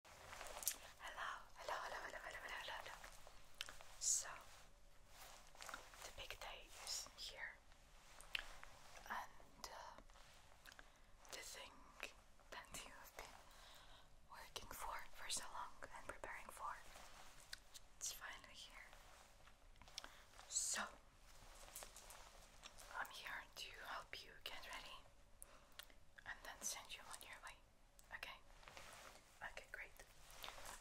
Hello, hello, hello, hello, hello, hello, hello. So, the big day is here, and uh, the thing that you have been working for for so long and preparing for, it's finally here. So, I'm here to help you get ready and then send you on your way. Okay. Okay, great.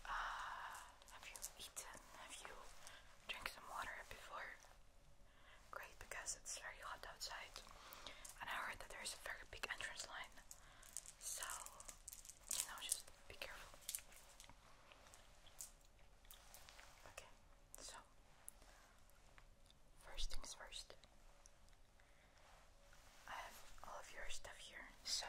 Uh, have you eaten? Have you drank some water before? Great, because it's very hot outside. And I heard that there's a very big entrance line. So, you know, just be careful. Okay, so, first things first. I have all of your stuff here, so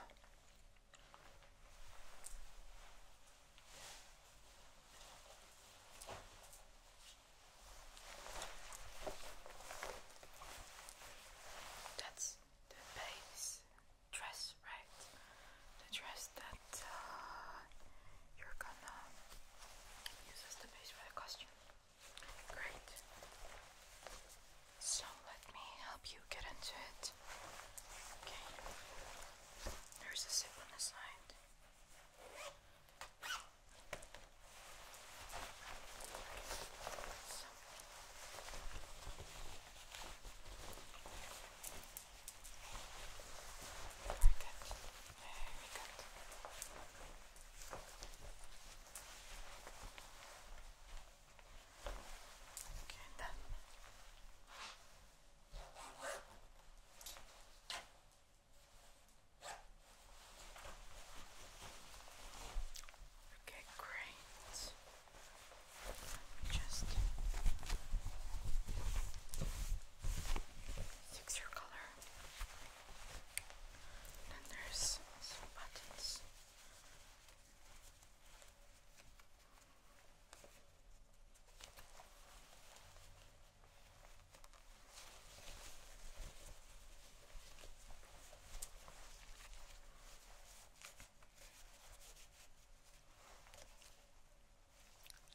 that's the base dress, right? The dress that uh, you're gonna use as the base for the costume. Great. So let me help you get into it. Okay. There's a zip on the side. So. Very good. Very good. Okay, Okay, great. Just fix your color. Then there's some buttons.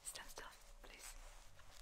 Stand still, please.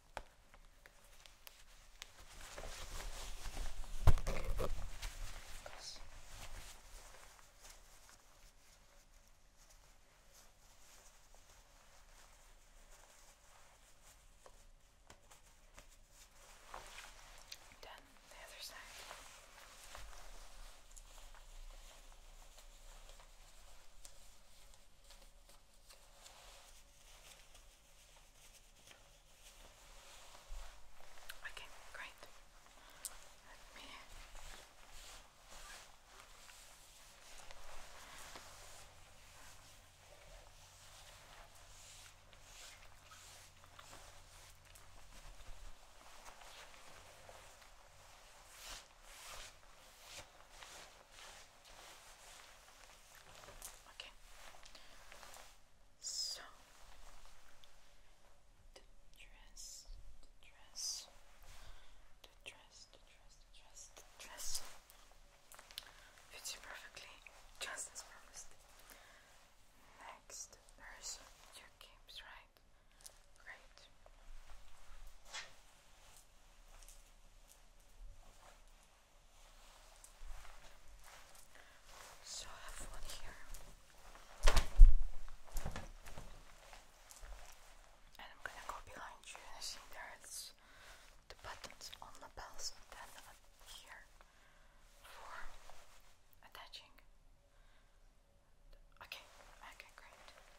Then the other side. Okay, great. Let me Okay. Okay. So the dress, the dress, the dress, the dress, the dress, the dress fits you perfectly, just as promised. Next, there's your games, right? Great. So I have one here, and I'm gonna go behind you. And I see there's the buttons on the bells, then here for attaching. Okay, okay, great.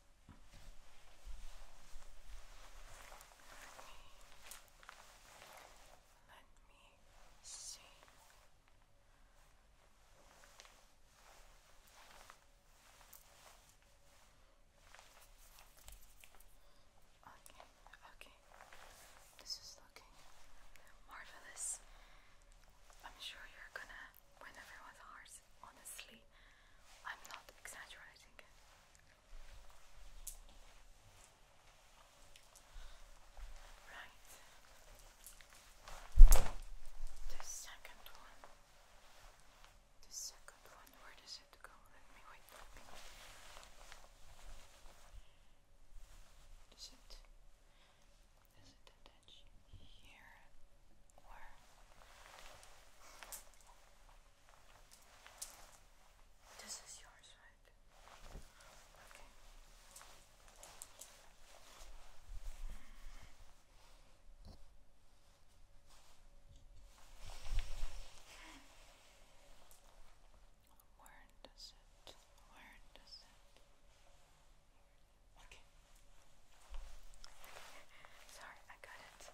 Let me see. Okay, okay. This is looking marvelous. I'm sure you're gonna win everyone's hearts, honestly. I'm not exaggerating. Right. The second one. The second one, where does it go? Let me wait for me. Does it does it attach here or this is yours, right? Okay. Where does it? Where does it? Okay. Sorry, I got it.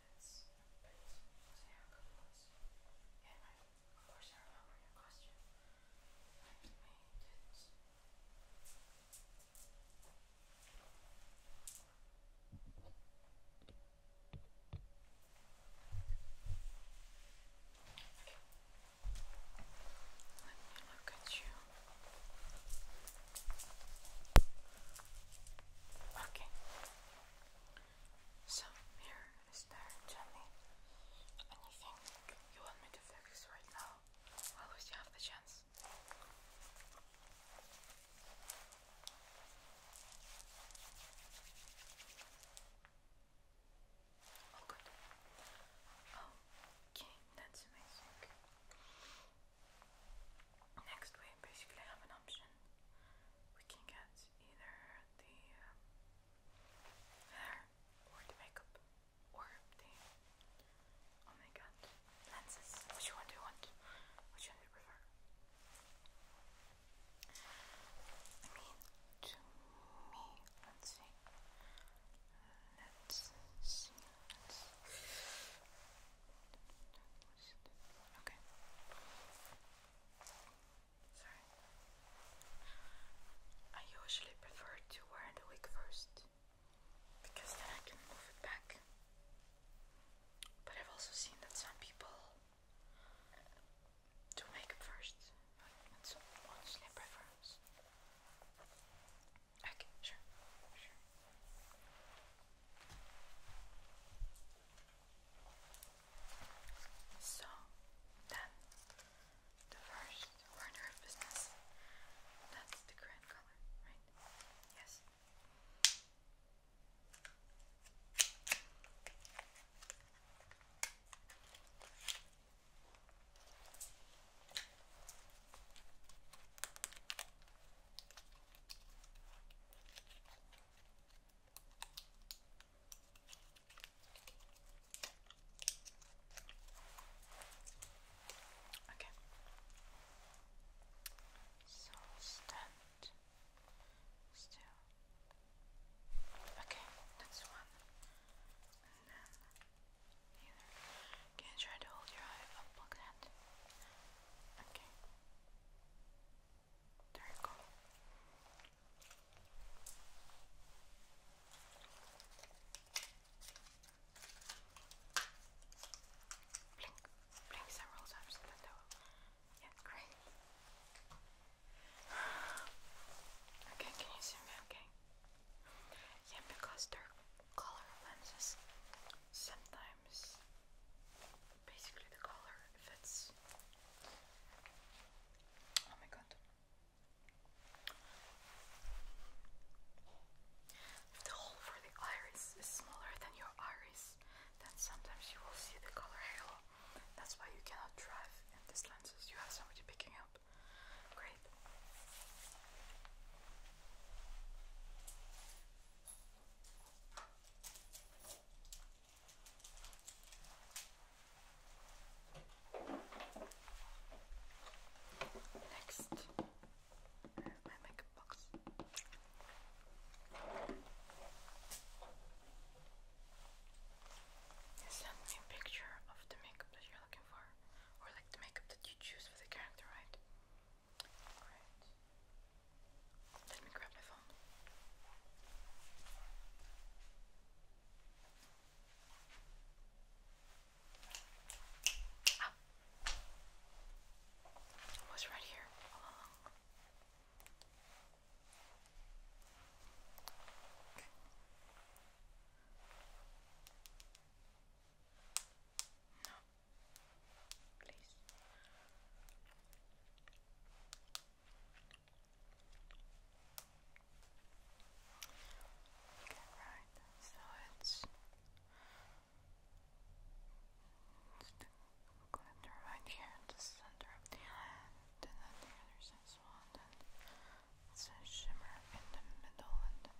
minutes, but it's a haircut was. And I, of course, I remember your costume. I made it. Okay. Let me look at you. Okay. Okay. So here is there, Jenny. Anything you want me to fix right now? While we have the chance. Oh good. Oh, okay, that's amazing. Next, we basically have an option. We can get either the uh, hair or the makeup or the oh my god lenses. Which one do you want? Which you prefer? I mean, to me, let's see. Let's. I usually prefer to wear the wig first because then I can move it back. But I've also seen that some people do makeup first. That's honestly a preference. Okay, sure, sure. So, then, the first order of business, that's the grand color, right? Yes. Okay. So stand still. Okay, that's one. And then here. Can you try to hold your eye up that? Okay. There you go. Blink, blink several times in the Yeah, great. Okay, can you see me okay? Yeah, because they color lenses. Sometimes, basically, the color fits. Oh my god. If the hole for the iris is smaller than your iris, then sometimes you will see the color halo. That's why you cannot drive in these lenses. You have somebody picking up. Great. Next, my makeup box. You me a picture of the makeup that you're looking for, or like the makeup that you choose for the character, right? Alright. Let me grab my phone. Ah. was right here No please. Okay, right. So it's, it's the glitter right here at the center of the then the other side as and it's a shimmer in the middle, and then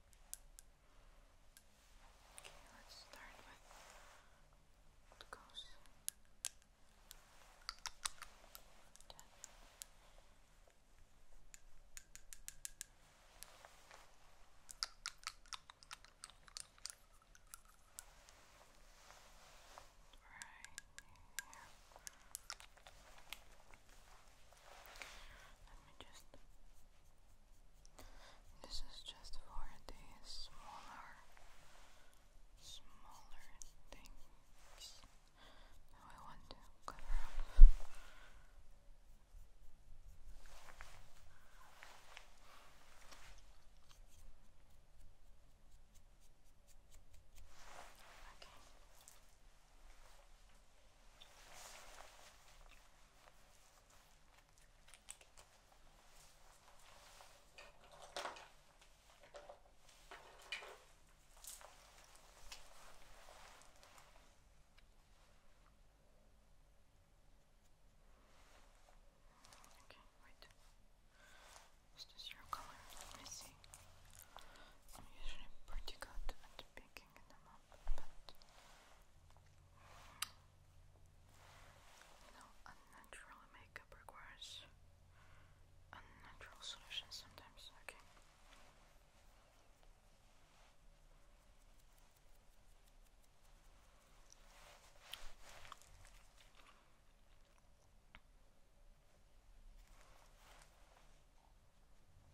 Okay, let's start with what goes. Right here. Let me This is just for the smaller, smaller things. Now I want to cover up. Okay, wait. Is your color? Let me see. I'm usually pretty good at picking picking you know, unnatural makeup requires unnatural solutions sometimes, Okay,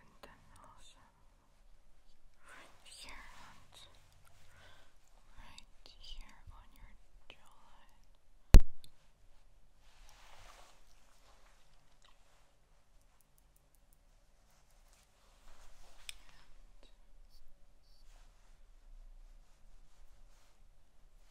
and then also right here right here on your jawline.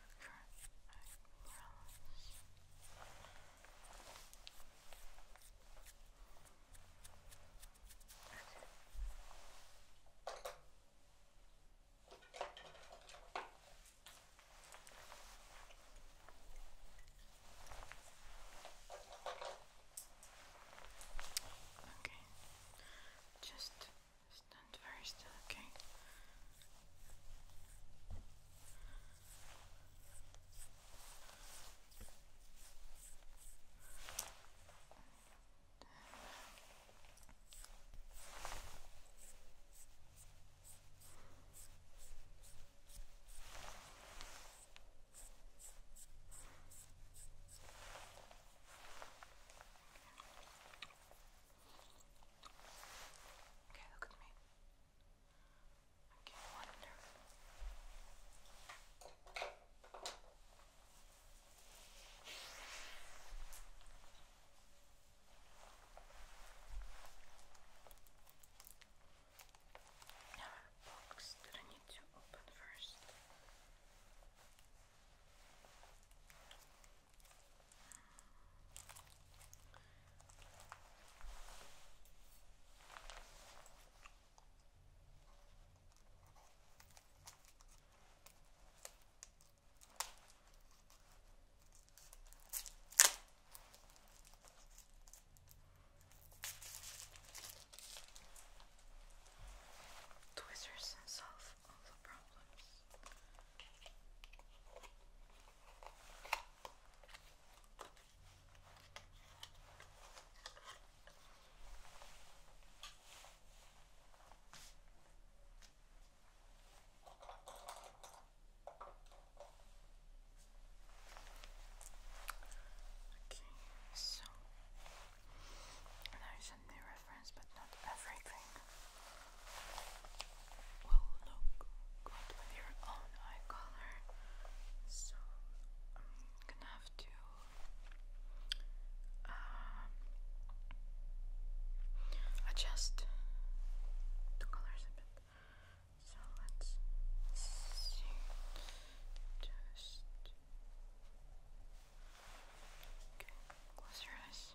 Okay, just stand very still, okay? Okay, look at me. Okay, wonderful. box that I need to open first. Twisters and solve all the problems. Okay, so there is a new reference, but not everything will look good with your own eye color. So I'm gonna have to adjust the colors a bit. So let's see. Just Close your eyes.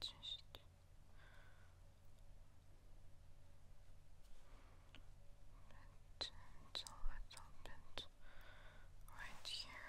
just bend a little right here.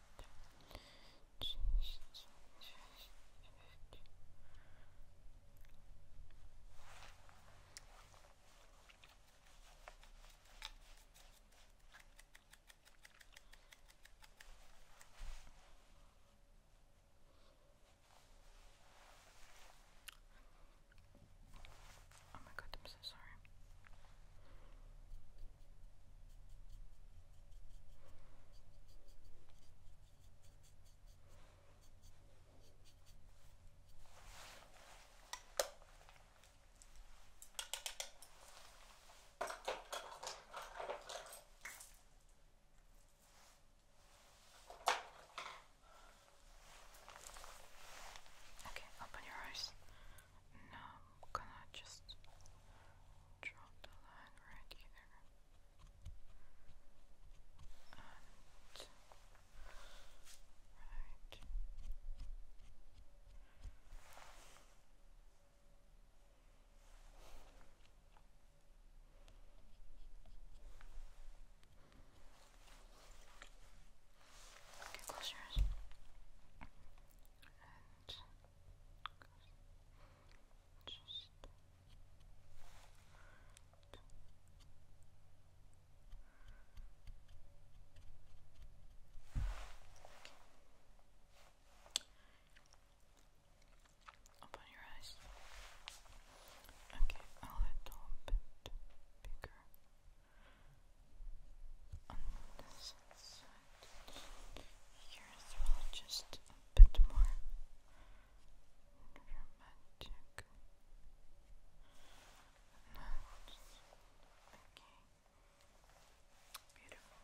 Oh my god, I'm so sorry. Okay, open your eyes. I'm gonna just draw the line right here. right. Okay, close your eyes. Just open your eyes. Okay, a little bit bigger on this side. Here as well, just a bit more dramatic. Not. Okay. Beautiful.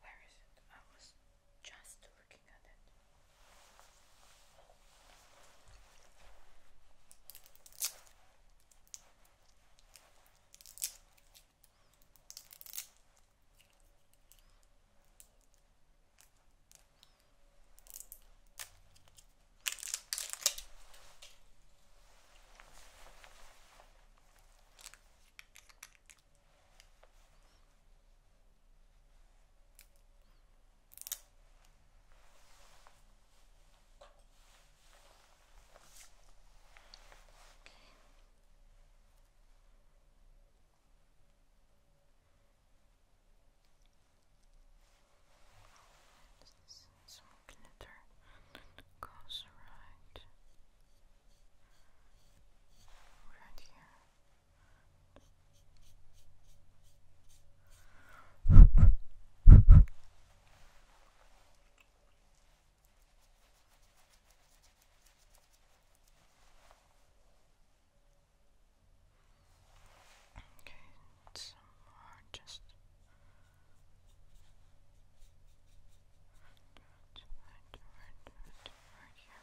Where is it? I was just looking at it. This is glitter goes right, right here some more just right, right, right, right, right here.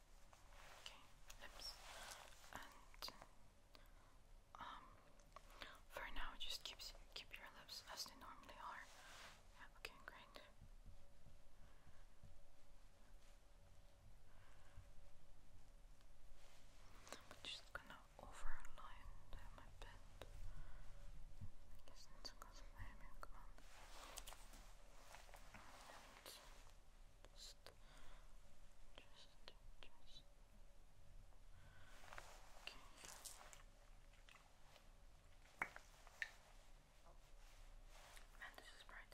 Okay, lips. And um for now just keep keep your lips as they normally are. okay, great. just gonna overline them a bit. I guess that's because of my hair, come just, just. Okay. Man, this is bright.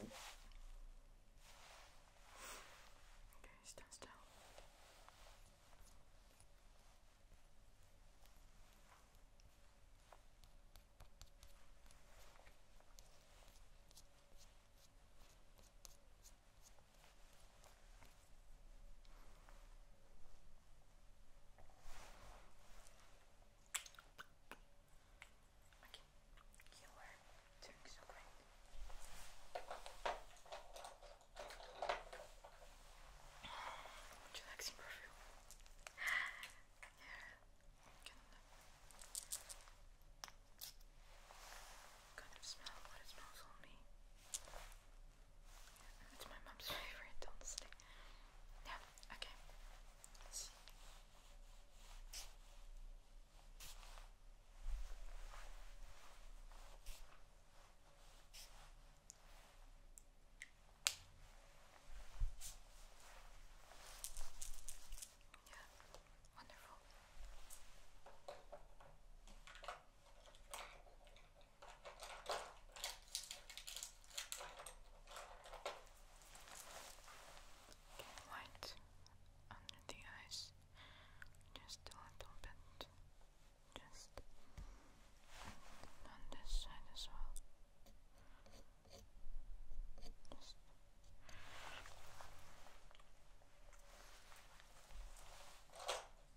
Okay, stand still. Okay. Okay, you are so great. Would you like some perfume? yeah. Kind of smell what it smells on it's my mum's favourite, honestly. Yeah, okay. Yeah, wonderful. Okay, light under the eyes, just a little bit, just on this side as well.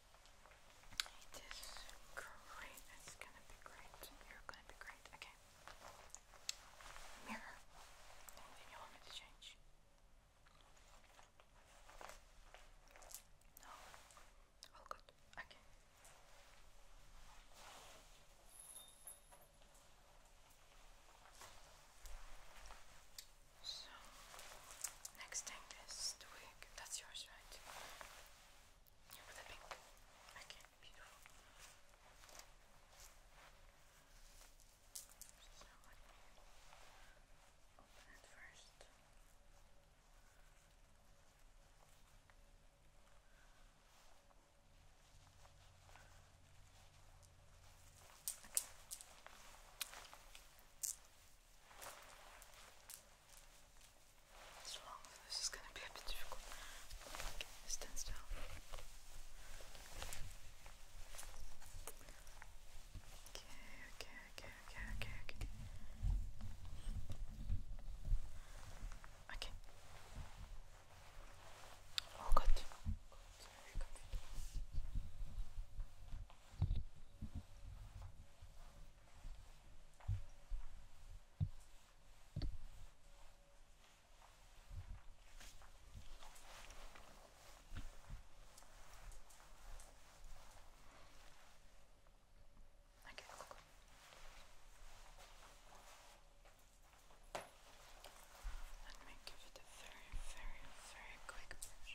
It is great. It's gonna be great. You're gonna be great. Okay. Mirror. Anything you want to change? No. All good. Okay. So, next thing is the wig. That's yours, right? With a pink. Okay, beautiful. So let me open it first. Okay this is going to be a bit difficult. Okay, stand still. Okay, okay, okay, okay, okay, okay. Okay. Oh god. Okay, cool, cool. Let me give it a very, very, very quick brush.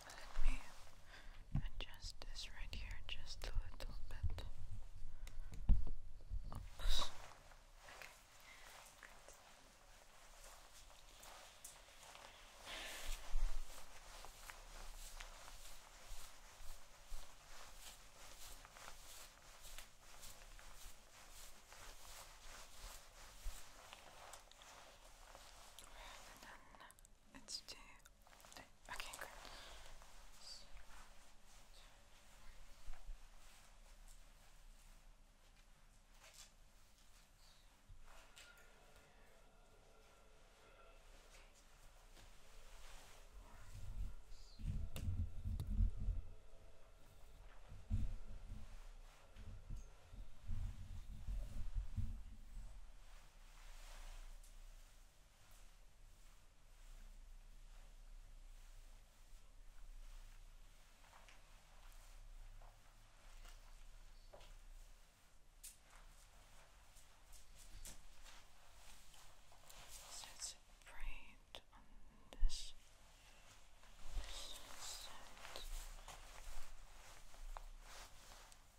Let me adjust this right here just a little bit. Okay. It's two. Okay, great. So it's braid on this,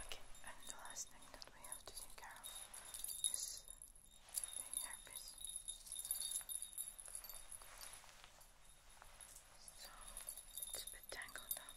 Okay, and the last thing that we have to take care of is the herpes. So it's a bit tangled up.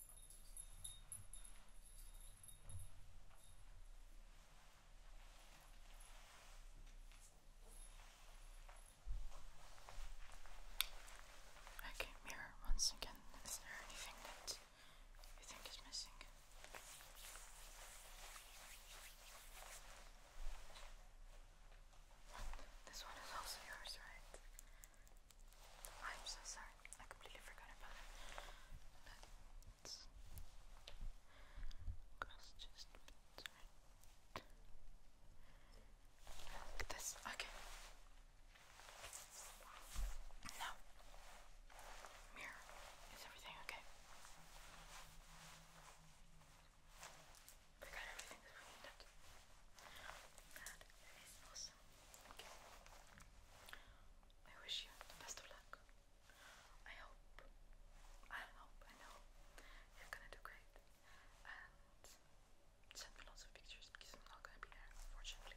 Okay, mirror once again. Is there anything that you think is missing? This one is also yours, right? I'm so sorry jar. I completely forgot about it. Let's cross just Look at this. Okay. Now, mirror. Is everything okay? We got everything Okay. I wish you the best of luck. I hope, I hope, I know you're gonna do great. send me lots of pictures because I'm not gonna be there, unfortunately.